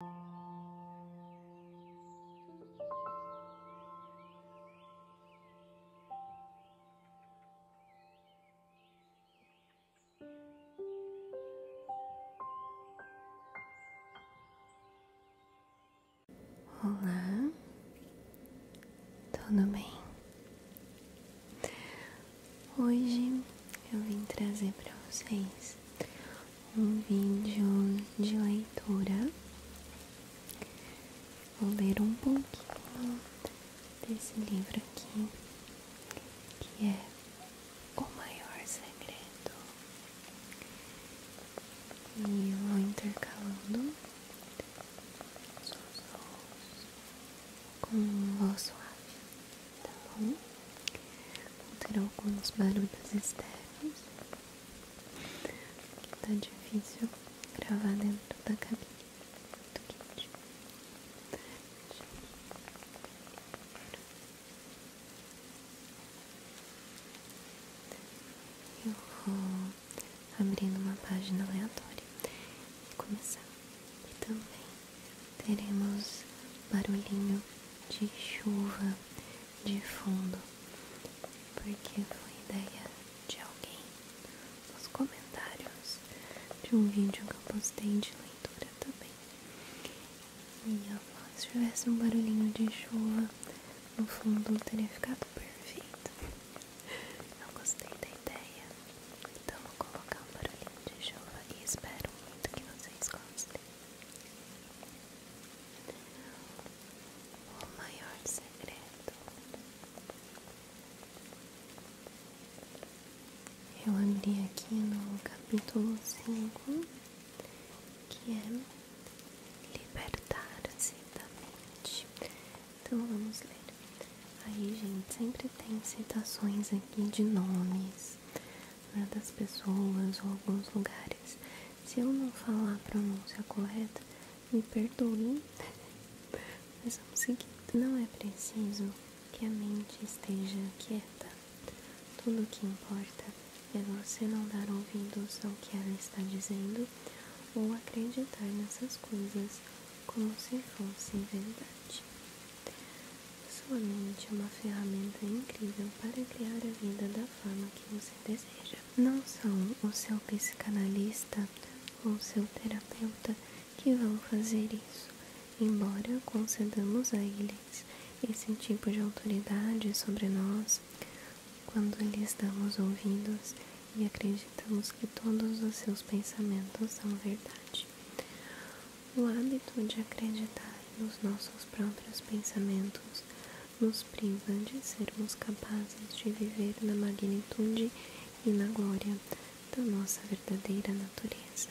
Olá, tudo bem? Hoje eu vim trazer para vocês um vídeo de leitura. Vou ler um pouquinho desse livro aqui, que é O Maior Segredo. E vou intercalando com voz suave tá bom? vou ter alguns barulhos externos, que tá difícil gravar dentro da cabine, muito quente. Eu vou abrindo uma página aleatória e começar. E também teremos barulhinho de chuva de fundo, porque foi ideia de alguém nos comentários de um vídeo que eu postei de leitura também. E eu, se tivesse um barulhinho de chuva no fundo, teria ficado perfeito. Eu gostei da ideia, então vou colocar um barulhinho de chuva e espero muito que vocês gostem. O maior segredo. Eu abri aqui no capítulo 5, que é libertar-se da mente. Então vamos ler. Aí, gente, sempre tem citações aqui de nomes né, das pessoas ou alguns lugares. Se eu não falar a pronúncia correta, me perdoem, mas o seguinte: Não é preciso que a mente esteja quieta. Tudo o que importa é você não dar ouvidos ao que ela está dizendo ou acreditar nessas coisas como se fossem verdade. Sua mente é uma ferramenta incrível para criar a vida da forma que você deseja. Não são o seu psicanalista ou o seu terapeuta que vão fazer isso, embora concedamos a eles esse tipo de autoridade sobre nós quando lhes damos ouvidos e acreditamos que todos os seus pensamentos são verdade. O hábito de acreditar nos nossos próprios pensamentos nos priva de sermos capazes de viver na magnitude e na glória da nossa verdadeira natureza,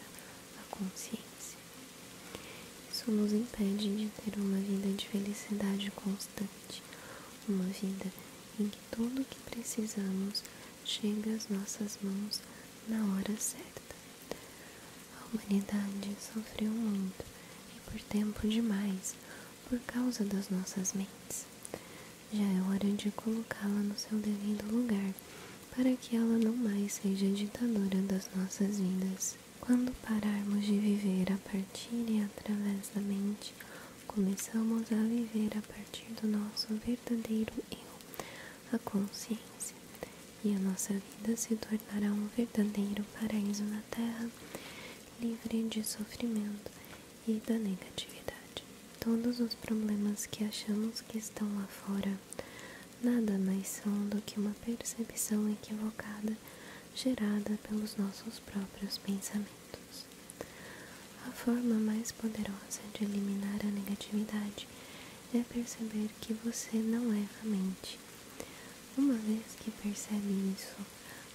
a consciência. Isso nos impede de ter uma vida de felicidade constante, uma vida em que tudo o que precisamos chega às nossas mãos na hora certa. A humanidade sofreu muito e por tempo demais por causa das nossas mentes. Já é hora de colocá-la no seu devido lugar para que ela não mais seja ditadora das nossas vidas. Quando pararmos de viver a partir e através da mente, começamos a viver a partir do nosso verdadeiro eu, a consciência e a nossa vida se tornará um verdadeiro paraíso na Terra, livre de sofrimento e da negatividade. Todos os problemas que achamos que estão lá fora nada mais são do que uma percepção equivocada gerada pelos nossos próprios pensamentos. A forma mais poderosa de eliminar a negatividade é perceber que você não é a mente. Uma vez que percebe isso,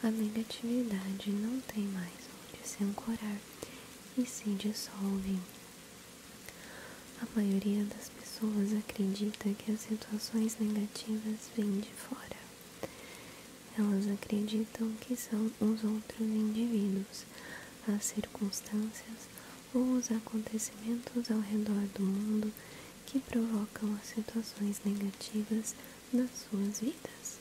a negatividade não tem mais onde se ancorar e se dissolve. A maioria das pessoas acredita que as situações negativas vêm de fora. Elas acreditam que são os outros indivíduos, as circunstâncias os acontecimentos ao redor do mundo que provocam as situações negativas nas suas vidas.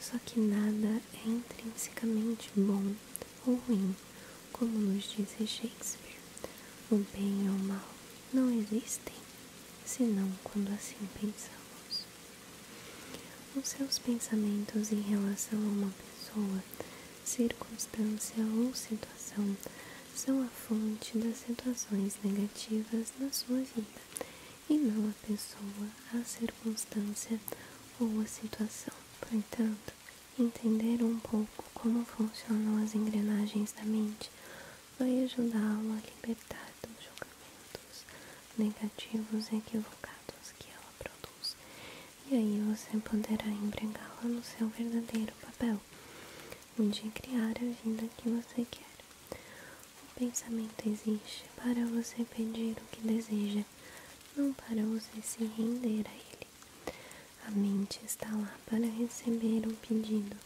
Só que nada é intrinsecamente bom ou ruim, como nos diz Shakespeare. O bem ou o mal não existem, senão quando assim pensamos os seus pensamentos em relação a uma pessoa, circunstância ou situação são a fonte das situações negativas na sua vida e não a pessoa, a circunstância ou a situação. Portanto, entender um pouco como funcionam as engrenagens da mente vai ajudá-lo a libertar dos julgamentos negativos e equivocados que ela produz e aí você poderá empregá-la no seu verdadeiro papel, onde criar a vida que você quer. O pensamento existe para você pedir o que deseja, não para você se render a ele. A mente está lá para receber o pedido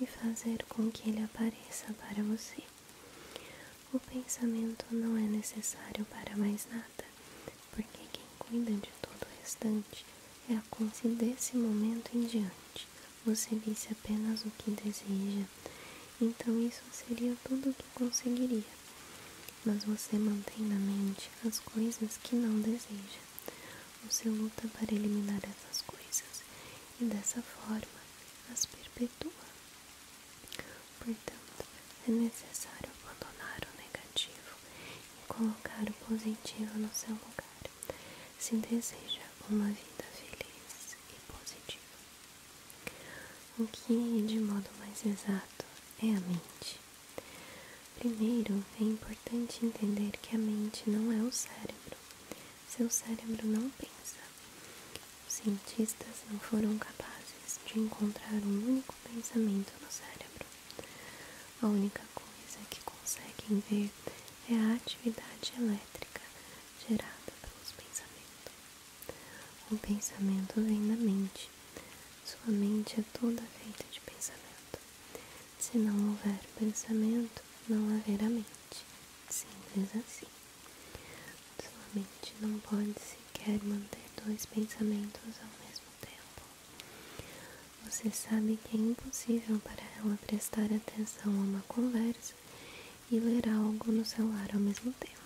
e fazer com que ele apareça para você. O pensamento não é necessário para mais nada, porque quem cuida de todo o restante é a consciência desse momento em diante. Você visse apenas o que deseja, então isso seria tudo o que conseguiria. Mas você mantém na mente as coisas que não deseja. Você luta para eliminar essas coisas e dessa forma as perpetua. Portanto, é necessário abandonar o negativo e colocar o positivo no seu lugar, se deseja uma vida feliz e positiva. O que, é de modo mais exato, é a mente. Primeiro, é importante entender que a mente não é o cérebro. Seu cérebro não pensa, os cientistas não foram capazes de encontrar um único pensamento no cérebro. A única coisa que conseguem ver é a atividade elétrica gerada pelos pensamentos. O pensamento vem da mente. Sua mente é toda feita de pensamento. Se não houver pensamento, não haverá mente. Simples assim. Sua mente não pode sequer manter dois pensamentos ao mesmo tempo. Você sabe que é impossível para ela prestar atenção a uma conversa e ler algo no celular ao mesmo tempo.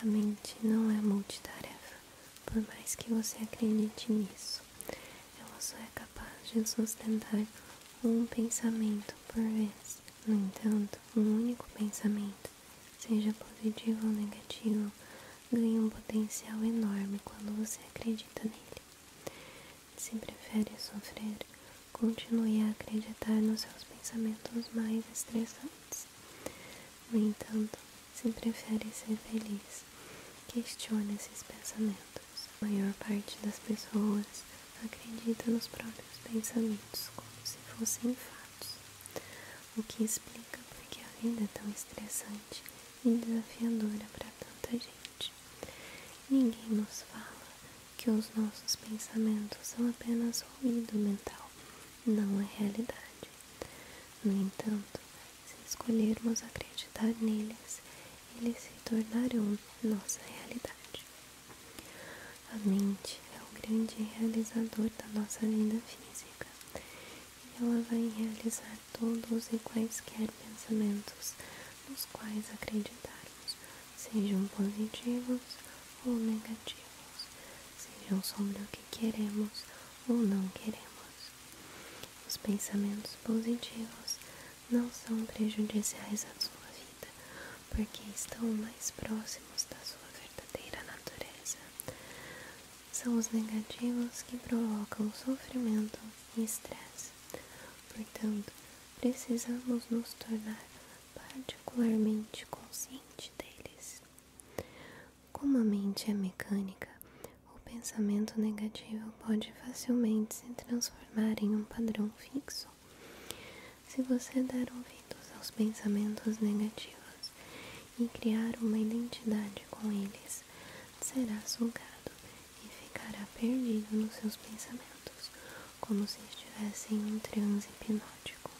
A mente não é multitarefa, por mais que você acredite nisso. Ela só é capaz de sustentar um pensamento por vez. No entanto, um único pensamento seja positivo ou negativo, ganha um potencial enorme quando você acredita nele. Se prefere sofrer, continue a acreditar nos seus pensamentos mais estressantes. No entanto, se prefere ser feliz, questione esses pensamentos. A maior parte das pessoas acredita nos próprios pensamentos como se fossem fatos, o que explica por que a vida é tão estressante e desafiadora para tanta gente. Ninguém nos fala que os nossos pensamentos são apenas ruído mental, não a é realidade. No entanto, se escolhermos acreditar neles, eles se tornarão nossa realidade. A mente é o grande realizador da nossa vida física e ela vai realizar todos e quaisquer pensamentos nos quais acreditarmos, sejam positivos ou negativos, sejam sobre o que queremos ou não queremos. Os pensamentos positivos não são prejudiciais à sua vida, porque estão mais próximos da sua verdadeira natureza. São os negativos que provocam sofrimento e estresse. Portanto, precisamos nos tornar particularmente conscientes deles. Como a mente é mecânica, o pensamento negativo pode facilmente se transformar em um padrão fixo se você der ouvidos aos pensamentos negativos e criar uma identidade com eles, será sugado e ficará perdido nos seus pensamentos, como se estivesse em um transe hipnótico.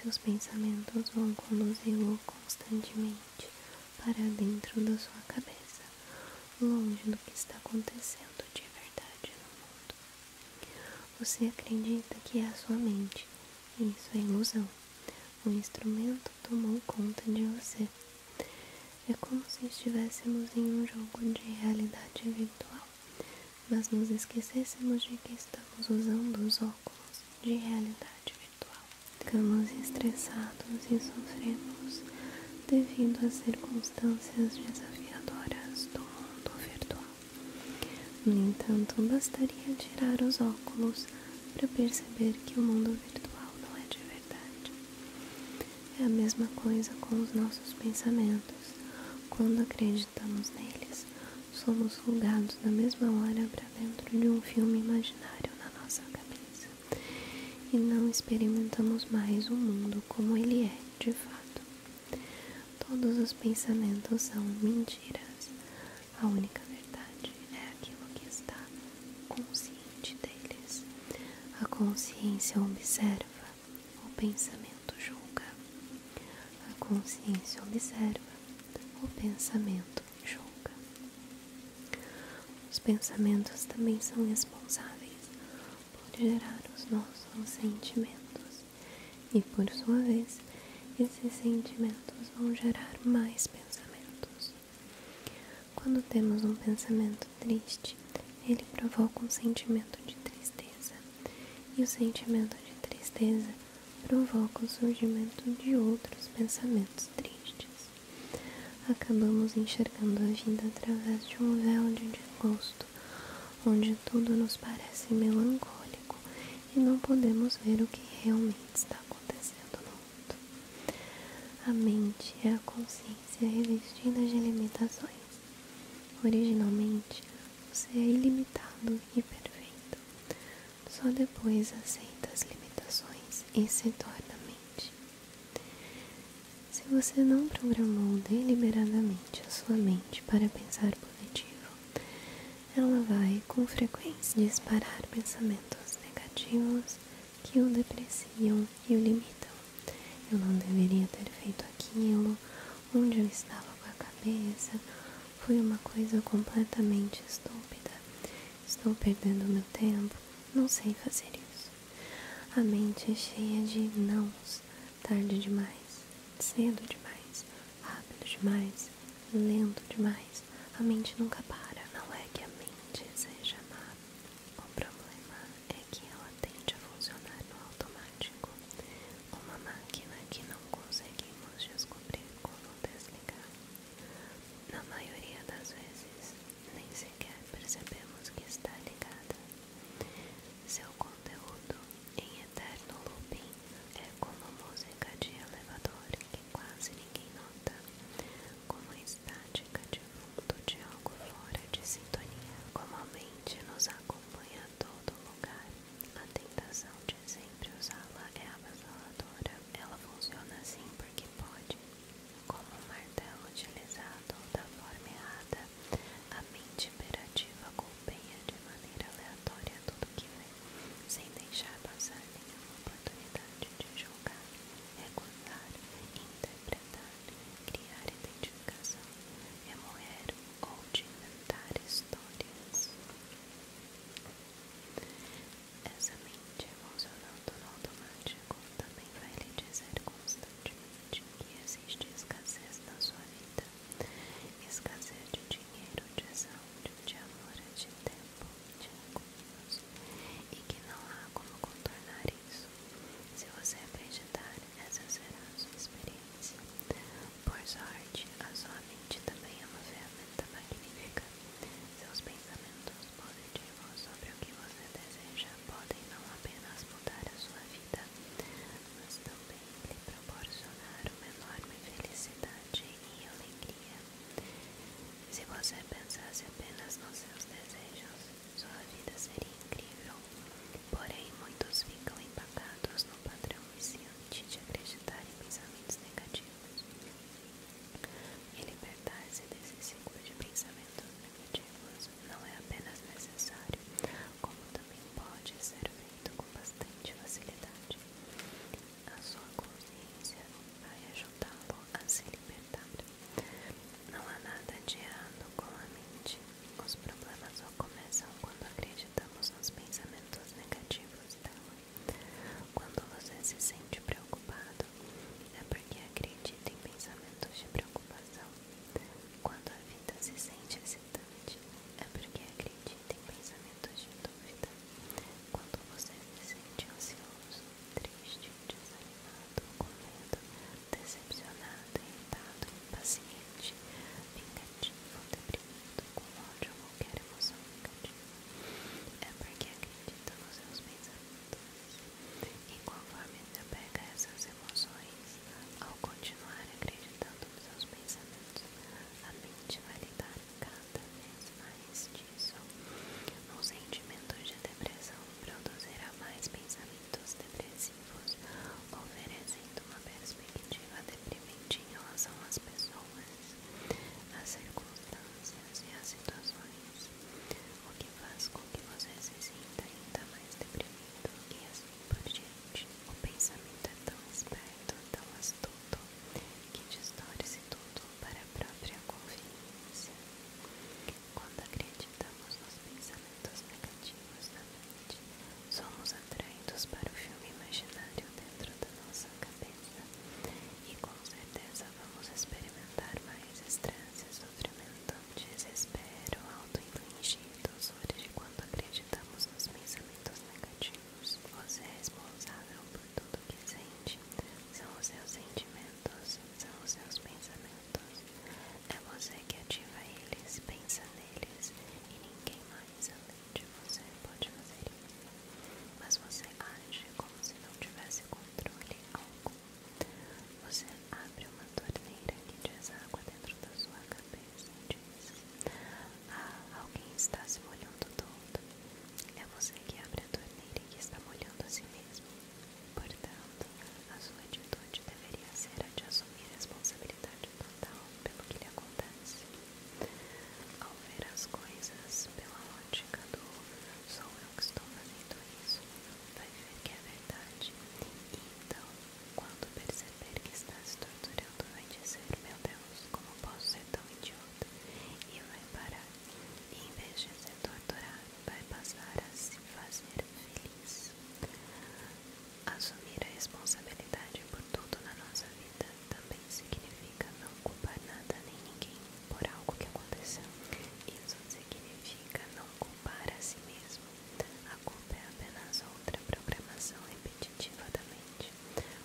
Seus pensamentos vão conduzi-lo constantemente para dentro da sua cabeça, longe do que está acontecendo de verdade no mundo. Você acredita que é a sua mente, isso é ilusão. O instrumento tomou conta de você. É como se estivéssemos em um jogo de realidade virtual, mas nos esquecêssemos de que estamos usando os óculos de realidade virtual. Ficamos estressados e sofremos devido às circunstâncias desafiadoras do mundo virtual. No entanto, bastaria tirar os óculos para perceber que o mundo virtual não é de verdade. É a mesma coisa com os nossos pensamentos. Quando acreditamos neles, somos julgados na mesma hora para dentro de um filme imaginário na nossa cabeça e não experimentamos mais o mundo como ele é de fato. Todos os pensamentos são mentiras. A única verdade é aquilo que está consciente deles. A consciência observa, o pensamento julga. A consciência observa, o pensamento julga. Os pensamentos também são responsáveis pode gerar os nossos sentimentos, e por sua vez, esses sentimentos vão gerar mais pensamentos. Quando temos um pensamento triste, ele provoca um sentimento de tristeza, e o sentimento de tristeza provoca o surgimento de outros pensamentos tristes. Acabamos enxergando a vida através de um véu de desgosto onde tudo nos parece melancólico e não podemos ver o que realmente está acontecendo no mundo. A mente é a consciência revestida de limitações. Originalmente, você é ilimitado e perfeito. Só depois aceita as limitações e se torna mente. Se você não programou deliberadamente a sua mente para pensar positivo, ela vai com frequência disparar pensamentos negativos que o depreciam e o limitam. Eu não deveria ter feito aquilo, onde eu estava com a cabeça, foi uma coisa completamente estúpida. Estou perdendo meu tempo, não sei fazer isso. A mente é cheia de não tarde demais, cedo demais, rápido demais, lento demais. A mente nunca para. Não é que a mente seja má. O problema é que ela tende a funcionar no automático. Uma máquina que não conseguimos descobrir como desligar. Na maioria das vezes, nem sequer percebemos que está ligada. Seu conteúdo em eterno looping é como música de elevador que quase ninguém nota, como a estática de fundo de algo fora de sintonia. a mente nos acompanha a todo lugar. A tentação de sempre usá-la é avassaladora. Ela funciona assim porque pode. Como um martelo utilizado da forma errada, a mente imperativa golpeia de maneira aleatória tudo que vê, sem deixar passar nenhuma oportunidade de julgar, recusar, interpretar, criar identificação, remoer ou de inventar histórias. Essa mente emocional é no automático também vai lhe dizer constantemente de que existe escassez na sua vida, escassez de dinheiro, de saúde, de amor, de tempo, de recursos, e que não há como contornar isso. Se você acreditar, essa será a sua experiência. Por sorte, a sua mente também é uma ferramenta magnífica. Seus pensamentos pensamentos positivos sobre o que você deseja podem não apenas mudar a sua vida, mas também lhe proporcionar uma enorme felicidade e alegria. Se você pensasse apenas nos seus desejos, sua vida seria incrível. Porém, muitos ficam empacados no padrão viciante de acreditar em pensamentos negativos. E libertar-se desse ciclo de pensamentos não é apenas necessário, como também pode ser feito com bastante facilidade. A sua consciência vai ajudá-lo a se libertar. Não há nada de errado com a mente. Os problemas só começam quando acreditamos nos pensamentos negativos dela. Quando você se sente preocupado, é porque acredita em pensamentos de preocupação. Quando a vida se sente excitante, é porque acredita em pensamentos de dúvida. Quando você se sente ansioso, triste, desanimado, com medo, decepcionado, irritado, impaciente, vingativo, deprimido, com ódio ou qualquer emoção negativa, é porque acredita nos seus pensamentos. E conforme pega essas emoções, ao continuar acreditando nos seus pensamentos, a mente vai lidar cada vez mais disso. Um sentimento de depressão produzirá mais pensamentos depressivos, oferecendo uma perspectiva deprimente em relação às pessoas, às circunstâncias e às situações o que faz com que você se sinta ainda mais deprimido e assim por diante. O pensamento é tão esperto, tão astuto, que distorce tudo para a própria conveniência. Quando acreditamos nos pensamentos negativos da mente, somos atraídos para o filme imaginário dentro da nossa cabeça e com certeza vamos experimentar mais estresse, sofrimentante, desespero, auto-infligidos, hoje de quando acreditamos nos pensamentos negativos. Você é responsável por tudo o que sente. São os seus sentimentos, são os seus pensamentos. É você que ativa eles, pensa neles e ninguém mais além de você pode fazer isso. Mas você age como se não tivesse controle algum. Você abre uma torneira que diz água dentro da sua cabeça e diz: ah, alguém está se molhando todo. É você que abre a torneira e que está molhando a si mesmo. Portanto, a sua atitude deveria ser a de assumir responsabilidade total pelo que lhe acontece. Ao ver as coisas pela ótica do sou não estou fazendo isso, vai ver que é verdade. E então, quando perceber que está se torturando, vai dizer: Meu Deus, como posso ser tão idiota? E vai parar. E em vez de ser torturado, vai passar a se fazer feliz. Assumir a responsabilidade por tudo na nossa vida também significa não culpar nada nem ninguém por algo que aconteceu. Isso significa não culpar a si mesmo. A culpa é apenas outra programação repetitiva da mente.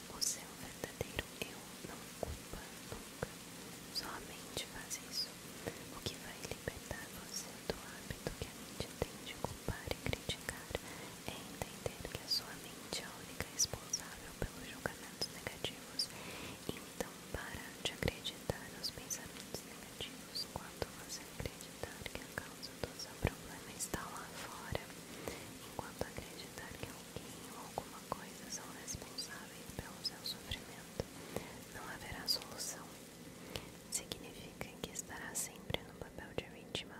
O seu verdadeiro eu não culpa nunca. Só mente faz isso. O que vai libertar você do hábito que a mente tem de culpar e criticar é entender que a sua mente é a única responsável pelos julgamentos negativos então, para de acreditar nos pensamentos negativos quando você acreditar que a causa do seu problema está lá fora, enquanto acreditar que alguém ou alguma coisa são responsáveis pelo seu sofrimento, não haverá solução. Significa que estará sempre no papel de vítima,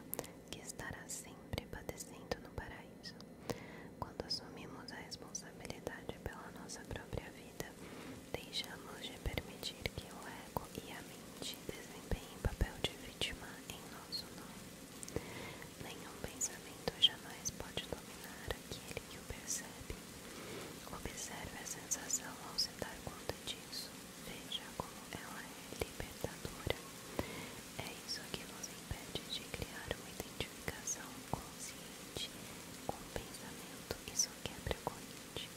que estará sempre padecendo no paraíso. Quando assumimos a responsabilidade pela nossa própria vida, deixamos de permitir que o ego e a mente desempenhem papel de vítima em nosso nome. Nenhum pensamento jamais pode dominar aquele que o percebe. Observe a sensação ao se dar conta disso. Veja como ela é libertadora. É isso que nos impede de criar uma identificação consciente com o pensamento. Isso quebra a corrente.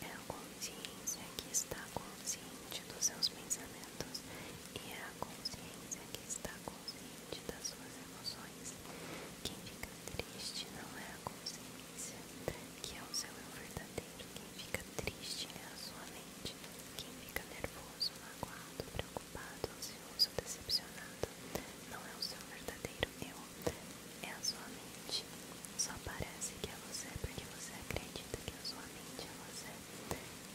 É a consciência que está consciente dos seus pensamentos e é a consciência que está consciente das suas emoções. Quem fica triste não é a consciência, que é o seu eu verdadeiro. Quem fica triste é a sua mente. Quem fica nervoso, magoado, preocupado preocupado, ansioso, decepcionado. Não é o seu verdadeiro eu, é a sua mente. Só parece que é você porque você acredita que a sua mente é você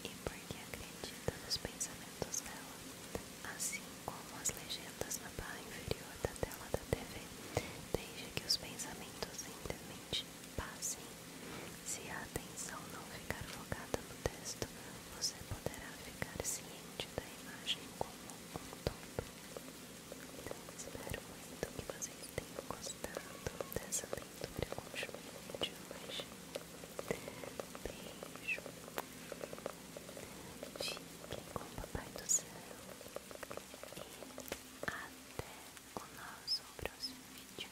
e porque acredita nos pensamentos dela. Assim como as legendas na barra inferior da tela da TV, desde que os pensamentos mente passem. Se a atenção não ficar focada no texto, você poderá ficar ciente da imagem como um todo. Então, espero muito que vocês tenham gostado dessa leitura com conjunta de hoje. Beijo. Fiquem com o Papai do Céu. E até o nosso próximo vídeo.